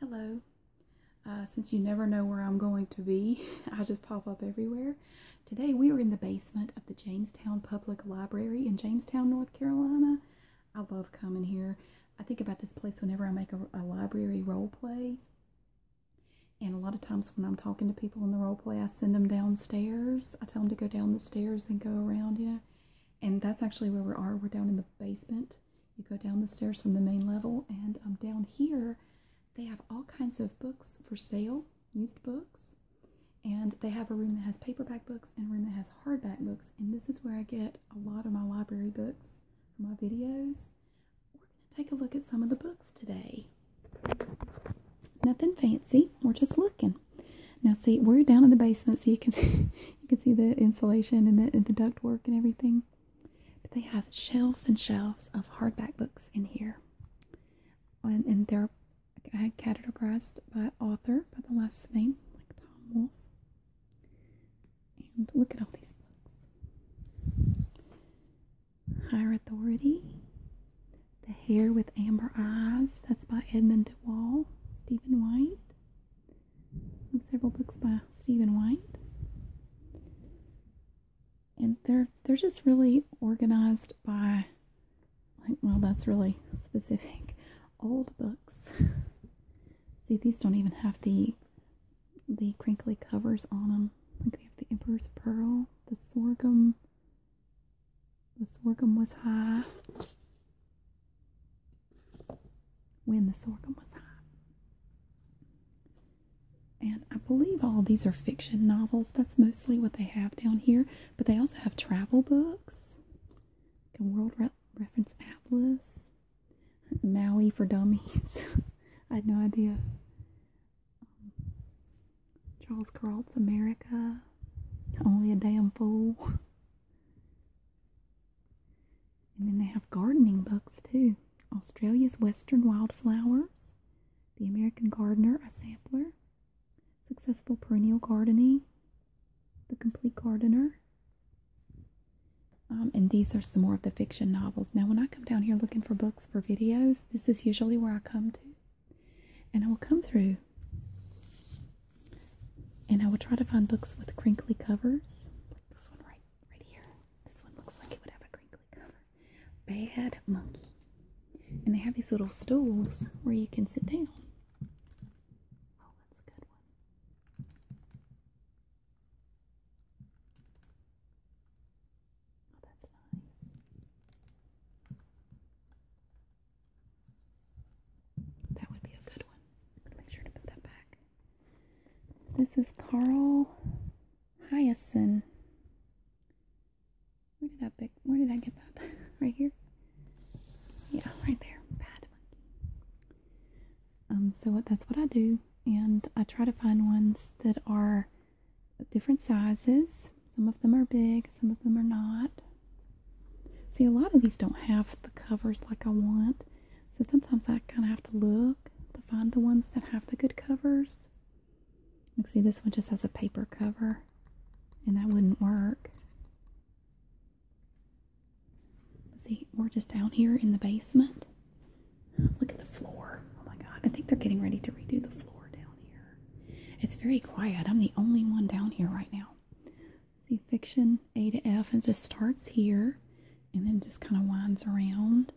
Hello. Uh, since you never know where I'm going to be, I just pop up everywhere. Today we are in the basement of the Jamestown Public Library in Jamestown, North Carolina. I love coming here. I think about this place whenever I make a, a library role play. And a lot of times when I'm talking to people in the role play, I send them downstairs. I tell them to go down the stairs and go around, you know. And that's actually where we are. We're down in the basement you go down the stairs from the main level, and um, down here they have all kinds of books for sale, used books. And they have a room that has paperback books and a room that has hardback books. And this is where I get a lot of my library books for my videos. We're going to take a look at some of the books today. Nothing fancy. We're just looking. Now see, we're down in the basement, so you can see, you can see the insulation and the, duct work and everything. But they have shelves and shelves of hardback books in here. And, and they're categorized by author, by the last name, like Tom Wolfe. And look at all these books Higher Authority, The Hair with Amber Eyes, that's by Edmund Wall, Stephen White, several books by Stephen White. And they're they're just really organized by like well that's really specific old books. See these don't even have the the crinkly covers on them. Like they have the Emperor's Pearl, the sorghum. The sorghum was high when the sorghum was hot. And I believe all these are fiction novels. That's mostly what they have down here. But they also have travel books, a World Reference Atlas, Maui for Dummies. I had no idea. Um, Charles Carroll's America, Only a Damn Fool. And then they have gardening books too Australia's Western Wildflowers, The American Gardener, a sampler, Successful Perennial Gardening, The Complete Gardener. Um, and these are some more of the fiction novels. Now, when I come down here looking for books for videos, this is usually where I come to. And I will come through and I will try to find books with crinkly covers, this one right right here. This one looks like it would have a crinkly cover. Bad monkey. And they have these little stools where you can sit down. Oh, that's a good one. Oh, that's nice. That would be a good one. going to make sure to put that back. This is Carl Hyacin. Where did I pick? Where did I get that? right here. Yeah, right there. Bad monkey. Um, so what, that's what I do, and I try to find ones that are different sizes. Some of them are big, some of them are not. See, a lot of these don't have the covers like I want. So sometimes I kind of have to look to find the ones that have the good covers. Like, see, this one just has a paper cover, and that wouldn't work. See, we're just down here in the basement. Look at the floor. Oh my god, I think they're getting ready to redo the floor down here. It's very quiet. I'm the only one down here right now. See, fiction A to F, and just starts here and then just kind of winds around.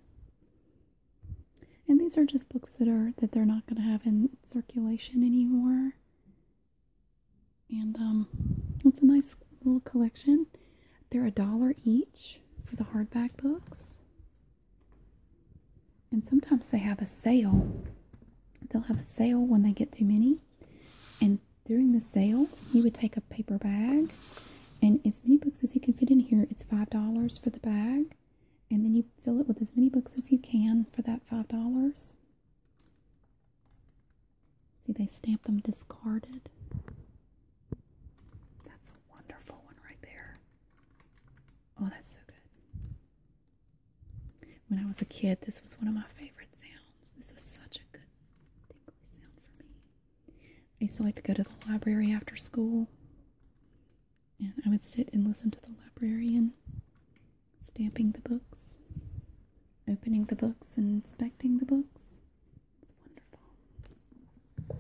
And these are just books that are that they're not going to have in circulation anymore. And um, it's a nice little collection. They're a dollar each for the hardback books. And sometimes they have a sale. They'll have a sale when they get too many. And during the sale, you would take a paper bag and as many books as you can fit in here. It's $5 for the bag, and then you fill it with as many books as you can for that $5. See, they stamp them discarded. That's a wonderful one right there. Oh, that's so good. When I was a kid, this was one of my favorite sounds. This was such a good tingly sound for me. I used to like to go to the library after school, and I would sit and listen to the librarian stamping the books, opening the books, and inspecting the books. It's wonderful.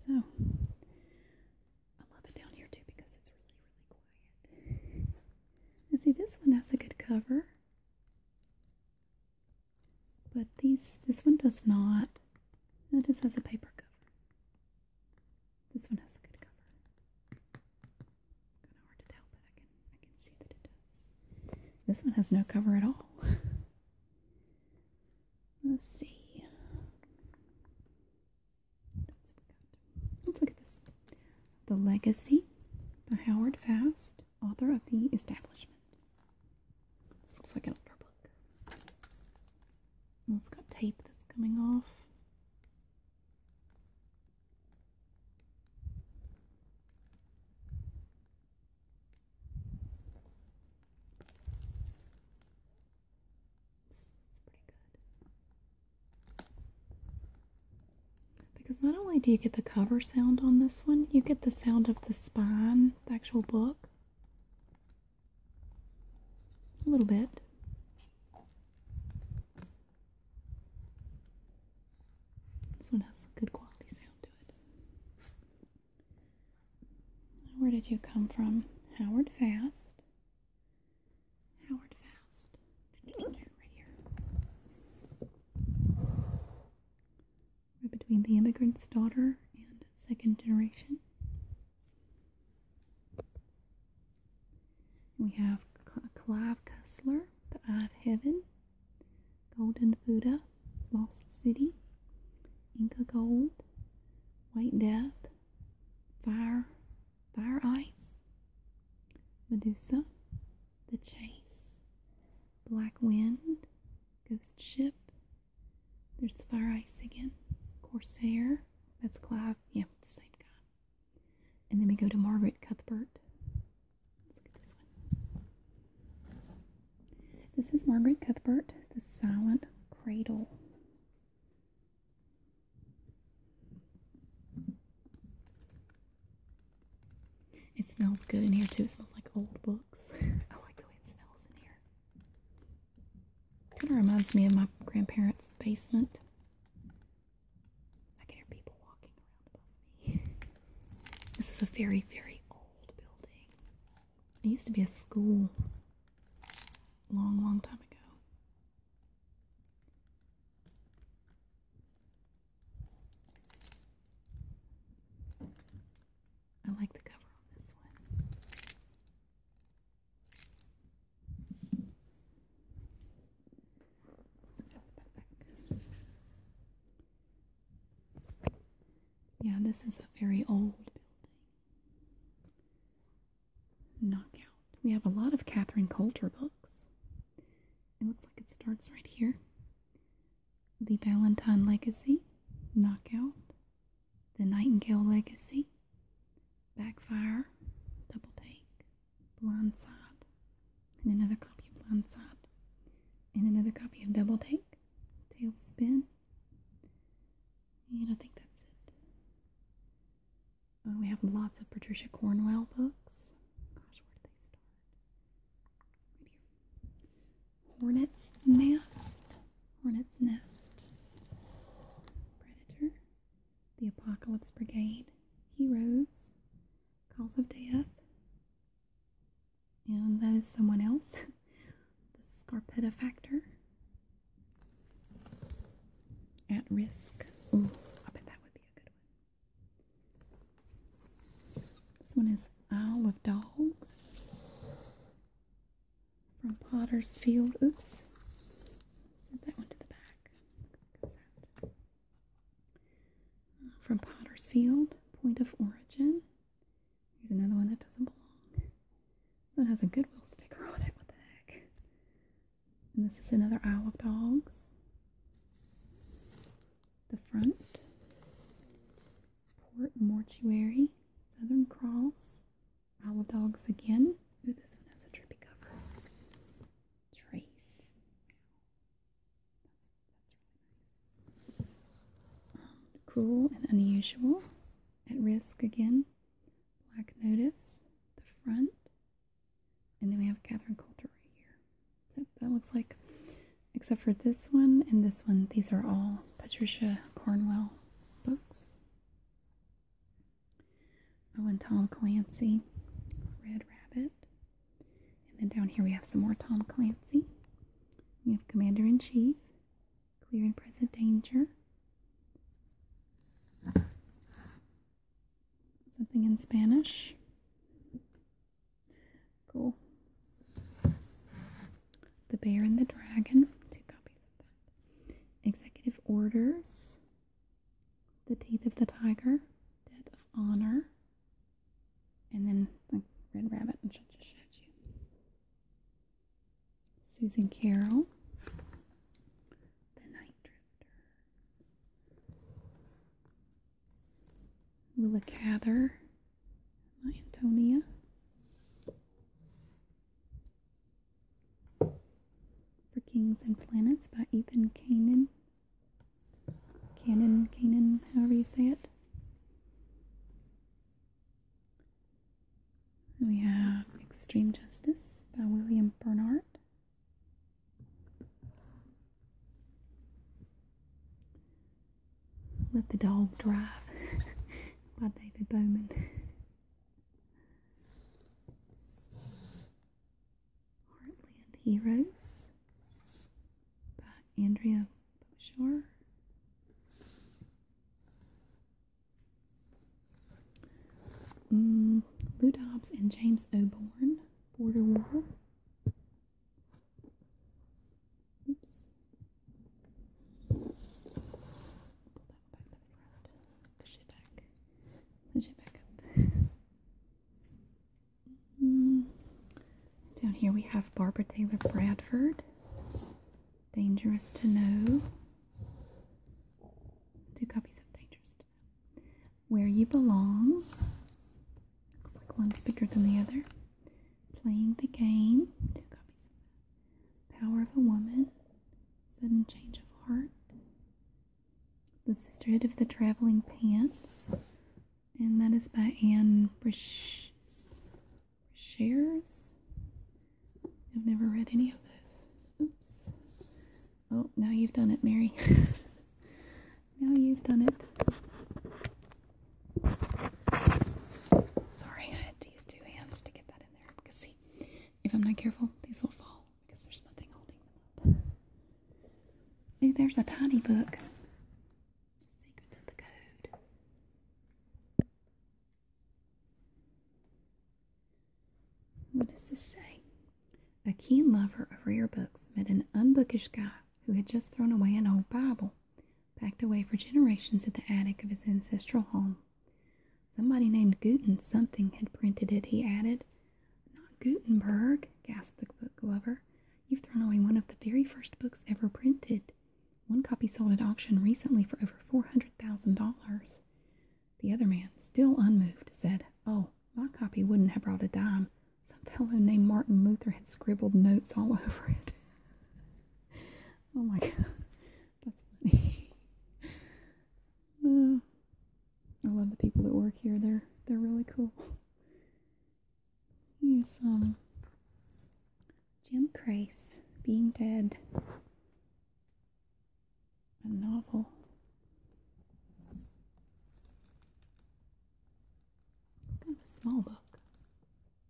So, I love it down here too because it's really, really quiet. And see, this one has a good cover. But these, this one does not. It just has a paper cover. This one has a good cover. It's kind of hard to tell, but I can I can see that it does. This one has no cover at all. Let's see. Let's look at this. The Legacy by Howard Fast. Author of The Establishment. This looks like an older book. it's got tape that's coming off. That's pretty good. Because not only do you get the cover sound on this one, you get the sound of the spine, the actual book. A little bit. This one has a good quality sound to it. Where did you come from? Howard Fast. Howard Fast. Right here between the immigrant's daughter and second generation. We have Clive Cussler, The Eye of Heaven, Golden Buddha, Lost City, Inca Gold, White Death, Fire, Fire Ice, Medusa, the Chase, Black Wind, Ghost Ship. There's the Fire Ice again, Corsair. That's Clive. Yeah, the same guy. And then we go to Margaret Cuthbert. Let's look this one. This is Margaret Cuthbert, The Silent Cradle. It smells good in here too. It smells like old books. I like the way it smells in here. Kind of reminds me of my grandparents' basement. I can hear people walking around above me. This is a very, very old building. It used to be a school long, long time ago. I like the cover on this one. Yeah, this is a very old building. Knockout. We have a lot of Catherine Coulter books. It looks like it starts right here the Valentine Legacy, Knockout, The Nightingale Legacy, Backfire, Double Take, Blindside, and another copy of Blindside, and another copy of Double Take, Tailspin, and I think that's it. Oh, we have lots of Patricia Cornwell books. Gosh, where do they start? hornet's nest, hornet's nest, predator, the apocalypse brigade, heroes, Calls of death, and that is someone else, the scarpetta factor, at risk. I bet that would be a good one. This one is Isle of Dogs from Potter's Field. Oops. Send that one to the back. From Potter's Field, Point of Origin. Here's another one that doesn't belong. That has a Goodwill sticker on it. What the heck? And this is another Isle of Dogs. The front. Port Mortuary, Southern Cross, Owl Dogs again. Ooh, this one has a trippy cover. Trace. That's, um, and unusual. At risk again. Black Notice, the front. And then we have Catherine Coulter right here that looks like, except for this one and this one, these are all Patricia Cornwell books. Oh, and Tom Clancy, Red Rabbit. And then down here we have some more Tom Clancy. We have Commander in Chief, Clear and Present Danger. Something in Spanish. Cool. The Bear and the Dragon. Executive Orders. The Teeth of the Tiger. Dead of Honor. And then like Red Rabbit, which I just showed you. Susan Carroll. The Night Drifter. Willa Cather, my Antonia. For Kings and Planets by Ethan Kanan. Cannon, Kanan, however you say it. We have Extreme Justice by William Bernard. Let the Dog Drive by David Bowman. Heartland Heroes by Andrea Shaw. Mm, Lou Dobbs and James O'Born, Border War. Oops. Pull that back Push it back. Push it back up. Mm. Down here we have Barbara Taylor Bradford. Dangerous to Know. Two copies of Dangerous to Know. Where You Belong. Looks like one's bigger than the other. Playing the Game, two copies Power of a Woman, Sudden Change of Heart, The Sisterhood of the Traveling Pants, and that is by Anne Brish Shares. I've never read any of those. Oops. Oh, now you've done it, Mary. now you've done it. Sorry, I had to use two hands to get that in there. Because see, if I'm not careful, these will fall because there's nothing holding them up. See, there's a tiny book. Secrets of the Code. What does this say? A keen lover of rare books met an unbookish guy who had just thrown away an old Bible packed away for generations in the attic of his ancestral home. Somebody named Guten something had printed it, he added. Not Gutenberg, gasped the book lover. You've thrown away one of the very first books ever printed. One copy sold at auction recently for over $400,000. The other man, still unmoved, said, Oh, my copy wouldn't have brought a dime. Some fellow named Martin Luther had scribbled notes all over it. oh my god, that's funny. Uh, I love the people that work here. They're they're really cool. Here's um Jim Crace being dead. A novel. kind of a small book.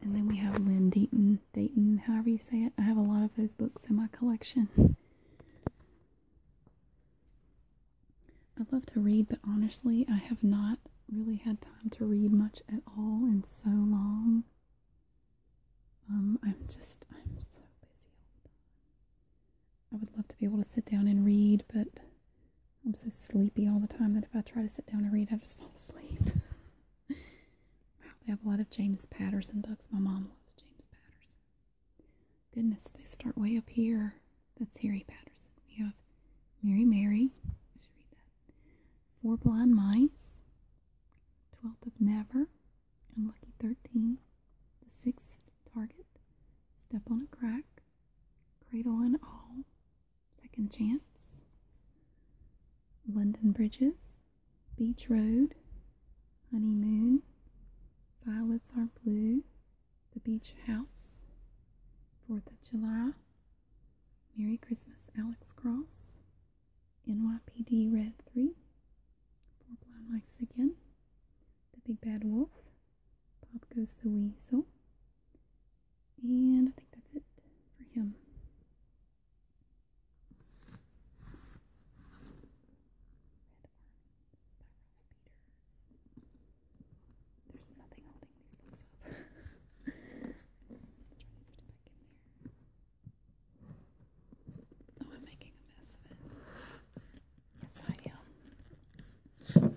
And then we have Lynn Deaton, Dayton, however you say it. I have a lot of those books in my collection. I love to read, but honestly, I have not really had time to read much at all in so long. Um, I'm just, I'm so busy I would love to be able to sit down and read, but I'm so sleepy all the time that if I try to sit down and read, I just fall asleep. wow, they have a lot of James Patterson books. My mom loves James Patterson. Goodness, they start way up here. That's Harry Patterson. We have Mary Mary. should read that. Four Blind Mice. Twelfth of Never. Unlucky Thirteen. The Sixth Target. Step on a Crack. Cradle and All. Second Chance, London Bridges, Beach Road, Honeymoon, Violets Are Blue, The Beach House, Fourth of July, Merry Christmas, Alex Cross, NYPD Red 3, Four Blind Mice Again, The Big Bad Wolf, Pop Goes the Weasel, and I think that's it for him. There's nothing holding these books up. Oh, I'm making a mess of it. Yes, I am.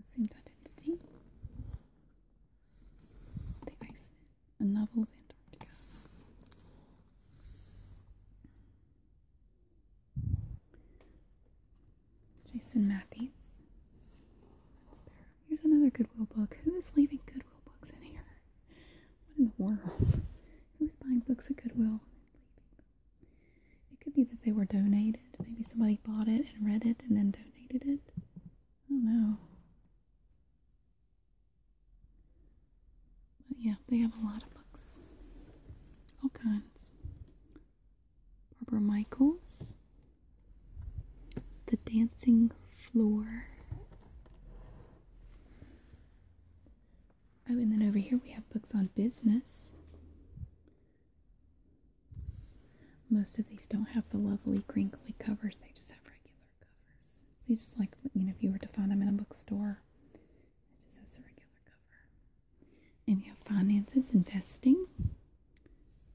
assumed identity. The Iceman, a novel of Antarctica. Jason Matthews. Here's another Goodwill book. Who is leaving Goodwill books in here? What in the world? Who's buying books at Goodwill and leaving them? It could be that they were donated. Maybe somebody bought it and read it and then donated it. I don't know. But yeah, they have a lot of books. All kinds. Barbara Michaels. The Dancing Floor. Oh, and then over here we have books on business. Most of these don't have the lovely crinkly covers, they just have regular covers. It's just like, you know, if you were to find them in a bookstore, it just has a regular cover. And we have finances, investing.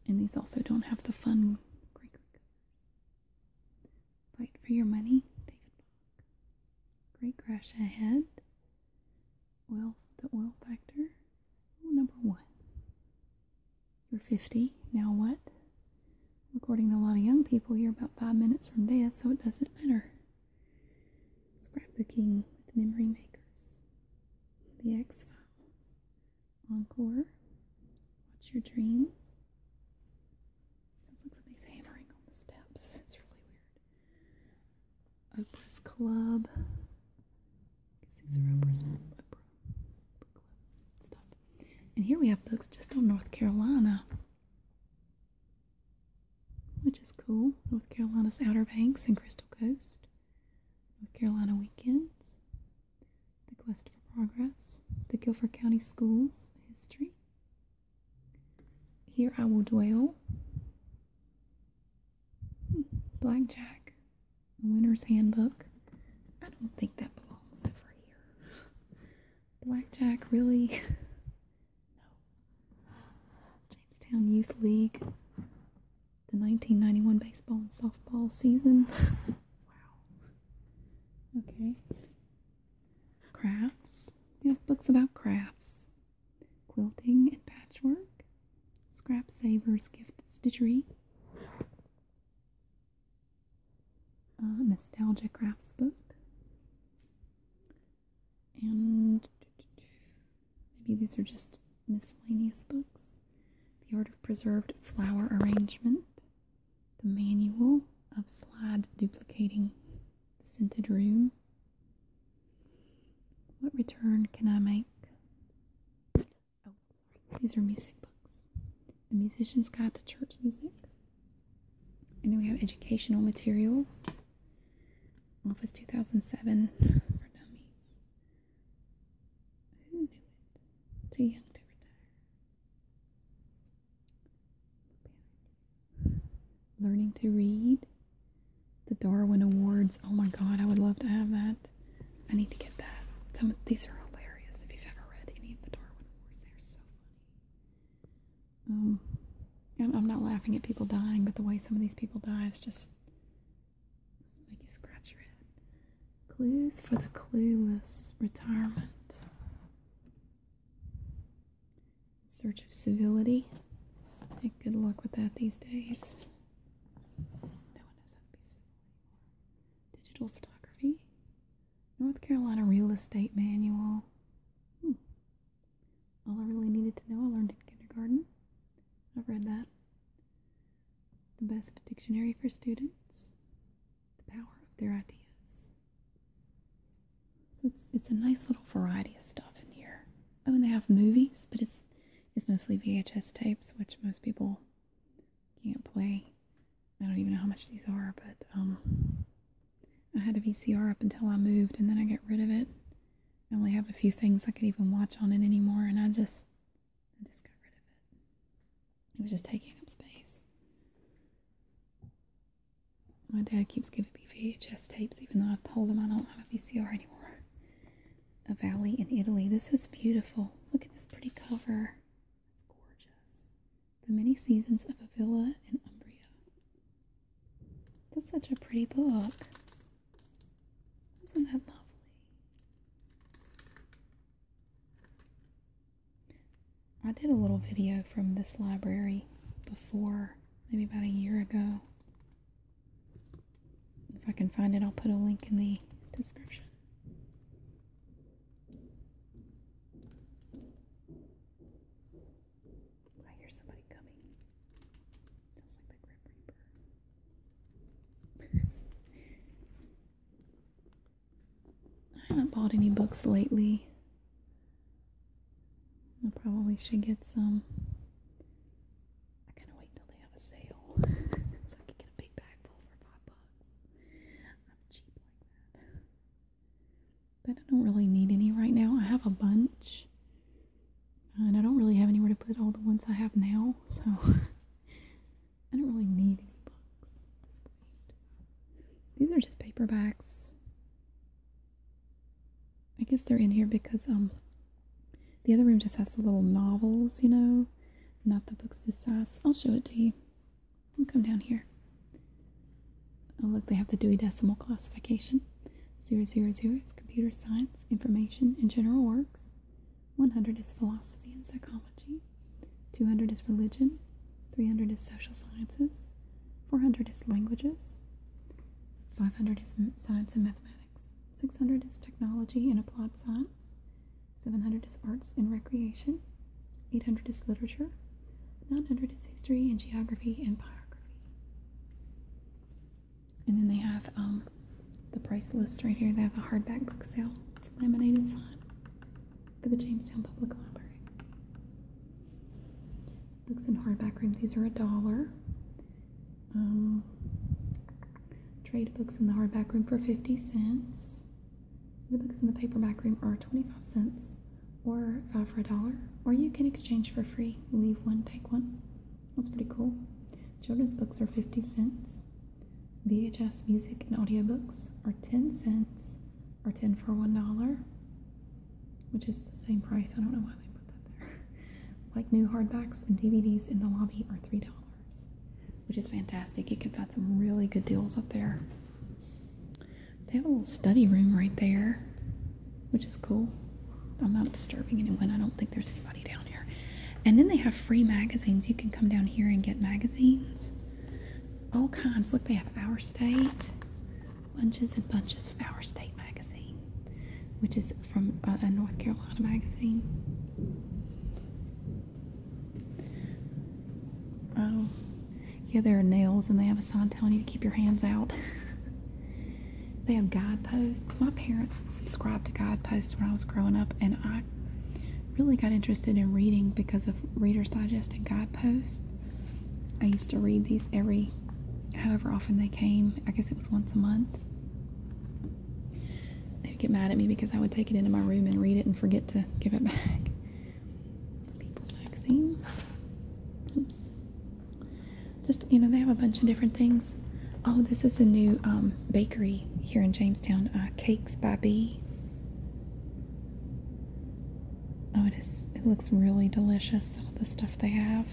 And these also don't have the fun crinkly covers. Fight for your money, Great crash ahead oil, the oil factor. number one. You're 50. Now what? According to a lot of young people, you're about five minutes from death, so it doesn't matter. Scrapbooking with memory makers. The X Files. Encore. Watch your dreams. Sounds like somebody's hammering on the steps. It's really weird. Oprah's Club. these are Oprah's Club stuff. And here we have books just on North Carolina, which is cool. North Carolina's Outer Banks and Crystal Coast. North Carolina Weekends. The Quest for Progress. The Guilford County Schools History. Here I Will Dwell. Blackjack, a winner's handbook. I don't think that belongs over here. Blackjack, really? no. Jamestown Youth League, the 1991 baseball and softball season. wow. Okay. Crafts. We have books about crafts quilting and patchwork, scrap savers, gift stitchery, uh, nostalgia crafts book, and maybe these are just miscellaneous books. The Art of Preserved Flower Arrangement, The Manual of Slide Duplicating the Scented Room, what return can I make? Oh, these are music books. The Musician's Guide to Church Music. And then we have educational materials. Office 2007 for dummies. Who knew Too young to retire. Learning to read. The Darwin Awards. Oh my god, I would love to have that. I need to get that. these are hilarious. If you've ever read any of the Darwin Awards, they're so funny. Um, I'm not laughing at people dying, but the way some of these people die is just make you scratch your head. Clues for the clueless retirement. Search of civility. good luck with that these days. Digital photography. North Carolina Real Estate Manual. Hmm. All I really needed to know, I learned in kindergarten. I've read that. The best dictionary for students. The power of their ideas. So it's it's a nice little variety of stuff in here. Oh, and they have movies, but it's is mostly VHS tapes, which most people can't play. I don't even know how much these are, but um, I had a VCR up until I moved, and then I got rid of it. I only have a few things I could even watch on it anymore, and I just, I just got rid of it. It was just taking up space. My dad keeps giving me VHS tapes, even though I've told him I don't have a VCR anymore a valley in Italy. This is beautiful. Look at this pretty cover. That's gorgeous. The Many Seasons of a Villa in Umbria. That's such a pretty book. Isn't that lovely? I did a little video from this library before, maybe about a year ago. If I can find it, I'll put a link in the description. I hear somebody coming. Sounds like the Grim Reaper. I haven't bought any books lately. I probably should get some. I kind of wait until they have a sale so I can get a big bag full for five bucks. I'm cheap like that. But I don't really need any right now. I have a bunch. And I don't really have anywhere to put all the ones I have now, so I don't really need any books These are just paperbacks. I guess they're in here because um the other room just has the little novels, you know, not the books this size. I'll show it to you. I'll come down here. Oh, look, they have the Dewey Decimal Classification. 000 is computer science, information, and general works. 100 is philosophy and psychology. 200 is religion. 300 is social sciences. 400 is languages. 500 is science and mathematics. 600 is technology and applied science. 700 is arts and recreation. 800 is literature. 900 is history and geography and biography. And then they have um, the price list right here. They have a hardback book sale. It's laminated sign for the Jamestown Public Library. Books in hardback room. These are a dollar. Um, trade books in the hardback room for 50 cents. The books in the paperback room are 25 cents or five for a dollar, or you can exchange for free. Leave one, take one. That's pretty cool. Children's books are 50 cents. VHS music and audiobooks are 10 cents or 10 for $1, which is the same price. I don't know why they put that there. Like new hardbacks and DVDs in the lobby are $3 which is fantastic. You can find some really good deals up there. They have a little study room right there, which is cool. I'm not disturbing anyone. I don't think there's anybody down here. And then they have free magazines. You can come down here and get magazines. All kinds. Look, they have Our State. Bunches and bunches of Our State magazine which is from a North Carolina magazine. Oh, yeah, there are nails, and they have a sign telling you to keep your hands out. they have guideposts. My parents subscribed to guideposts when I was growing up, and I really got interested in reading because of Reader's Digest and guideposts. I used to read these every however often they came. I guess it was once a month. They would get mad at me because I would take it into my room and read it and forget to give it back. People magazine. Oops. Just, you know, they have a bunch of different things. Oh, this is a new um, bakery here in Jamestown. Uh, cakes by Bee. Oh, it is. It looks really delicious. Some of the stuff they have.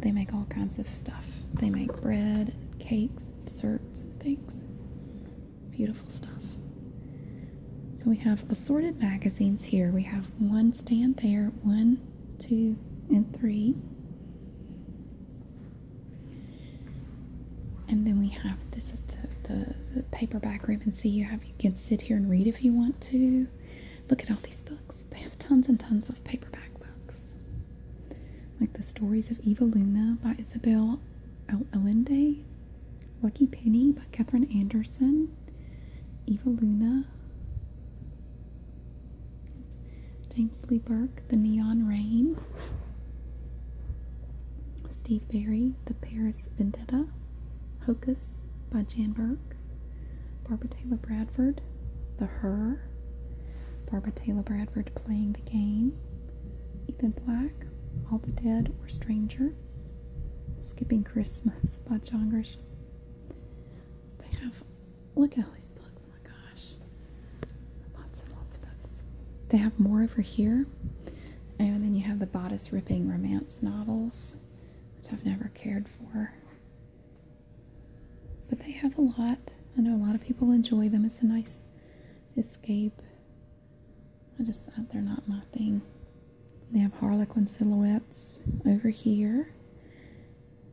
They make all kinds of stuff. They make bread, cakes, snacks, desserts, and things. Beautiful stuff. So we have assorted magazines here. We have one stand there, one, two, and three. And then we have this is the, the, paperback room. And See, you have you can sit here and read if you want to. Look at all these books. They have tons and tons of paperback books like The Stories of Eva Luna by Isabel Allende, Lucky Penny by Katherine Anderson, Eva Luna, James Lee Burke, The Neon Rain, Steve Barry, The Paris Vendetta, Hocus by Jan Burke, Barbara Taylor Bradford, the Her, Barbara Taylor Bradford playing the game, Ethan Black, All the Dead Were Strangers, Skipping Christmas by John Grisham. They have, look at all these books, oh my gosh, lots and lots of books. They have more over here, and then you have the bodice ripping romance novels, which I've never cared for. But they have a lot. I know a lot of people enjoy them. It's a nice escape. I just, uh, they're not my thing. They have Harlequin silhouettes over here.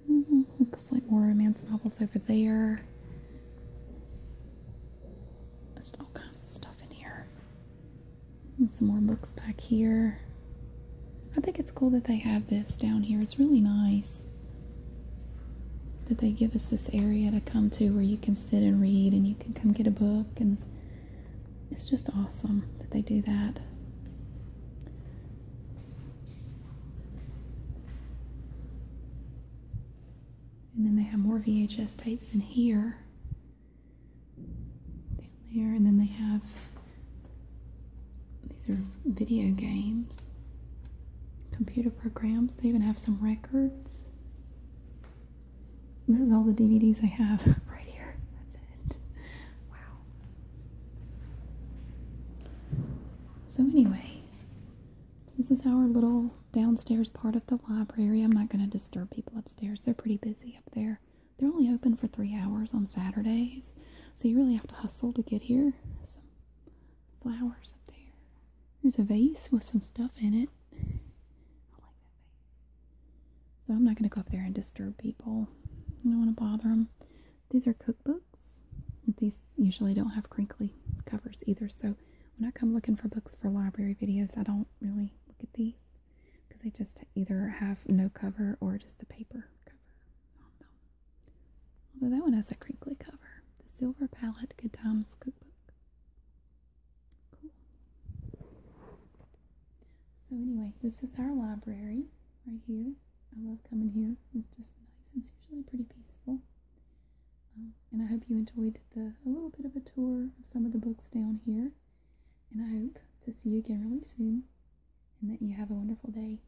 Mm, looks like more romance novels over there. Just all kinds of stuff in here. some more books back here. I think it's cool that they have this down here. It's really nice that they give us this area to come to where you can sit and read and you can come get a book and it's just awesome that they do that and then they have more vhs tapes in here down there and then they have these are video games computer programs. They even have some records. This is all the DVDs I have right here. That's it. Wow. So, anyway, this is our little downstairs part of the library. I'm not going to disturb people upstairs, they're pretty busy up there. They're only open for three hours on Saturdays, so you really have to hustle to get here flowers up there. There's a vase with some stuff in it. I like that vase. So I'm not going to go up there and disturb people. I don't want to bother them. These are cookbooks. These usually don't have crinkly covers either. So when I come looking for books for library videos, I don't really look at these because they just either have no cover or just the paper cover Although that one has a crinkly cover. The Silver Palette Good Times Cookbook. Cool. So anyway, this is our library right here. I love coming here. It's just nice. It's usually pretty peaceful. Um, and I hope you enjoyed a little bit of a tour of some of the books down here. And I hope to see you again really soon. And that you have a wonderful day.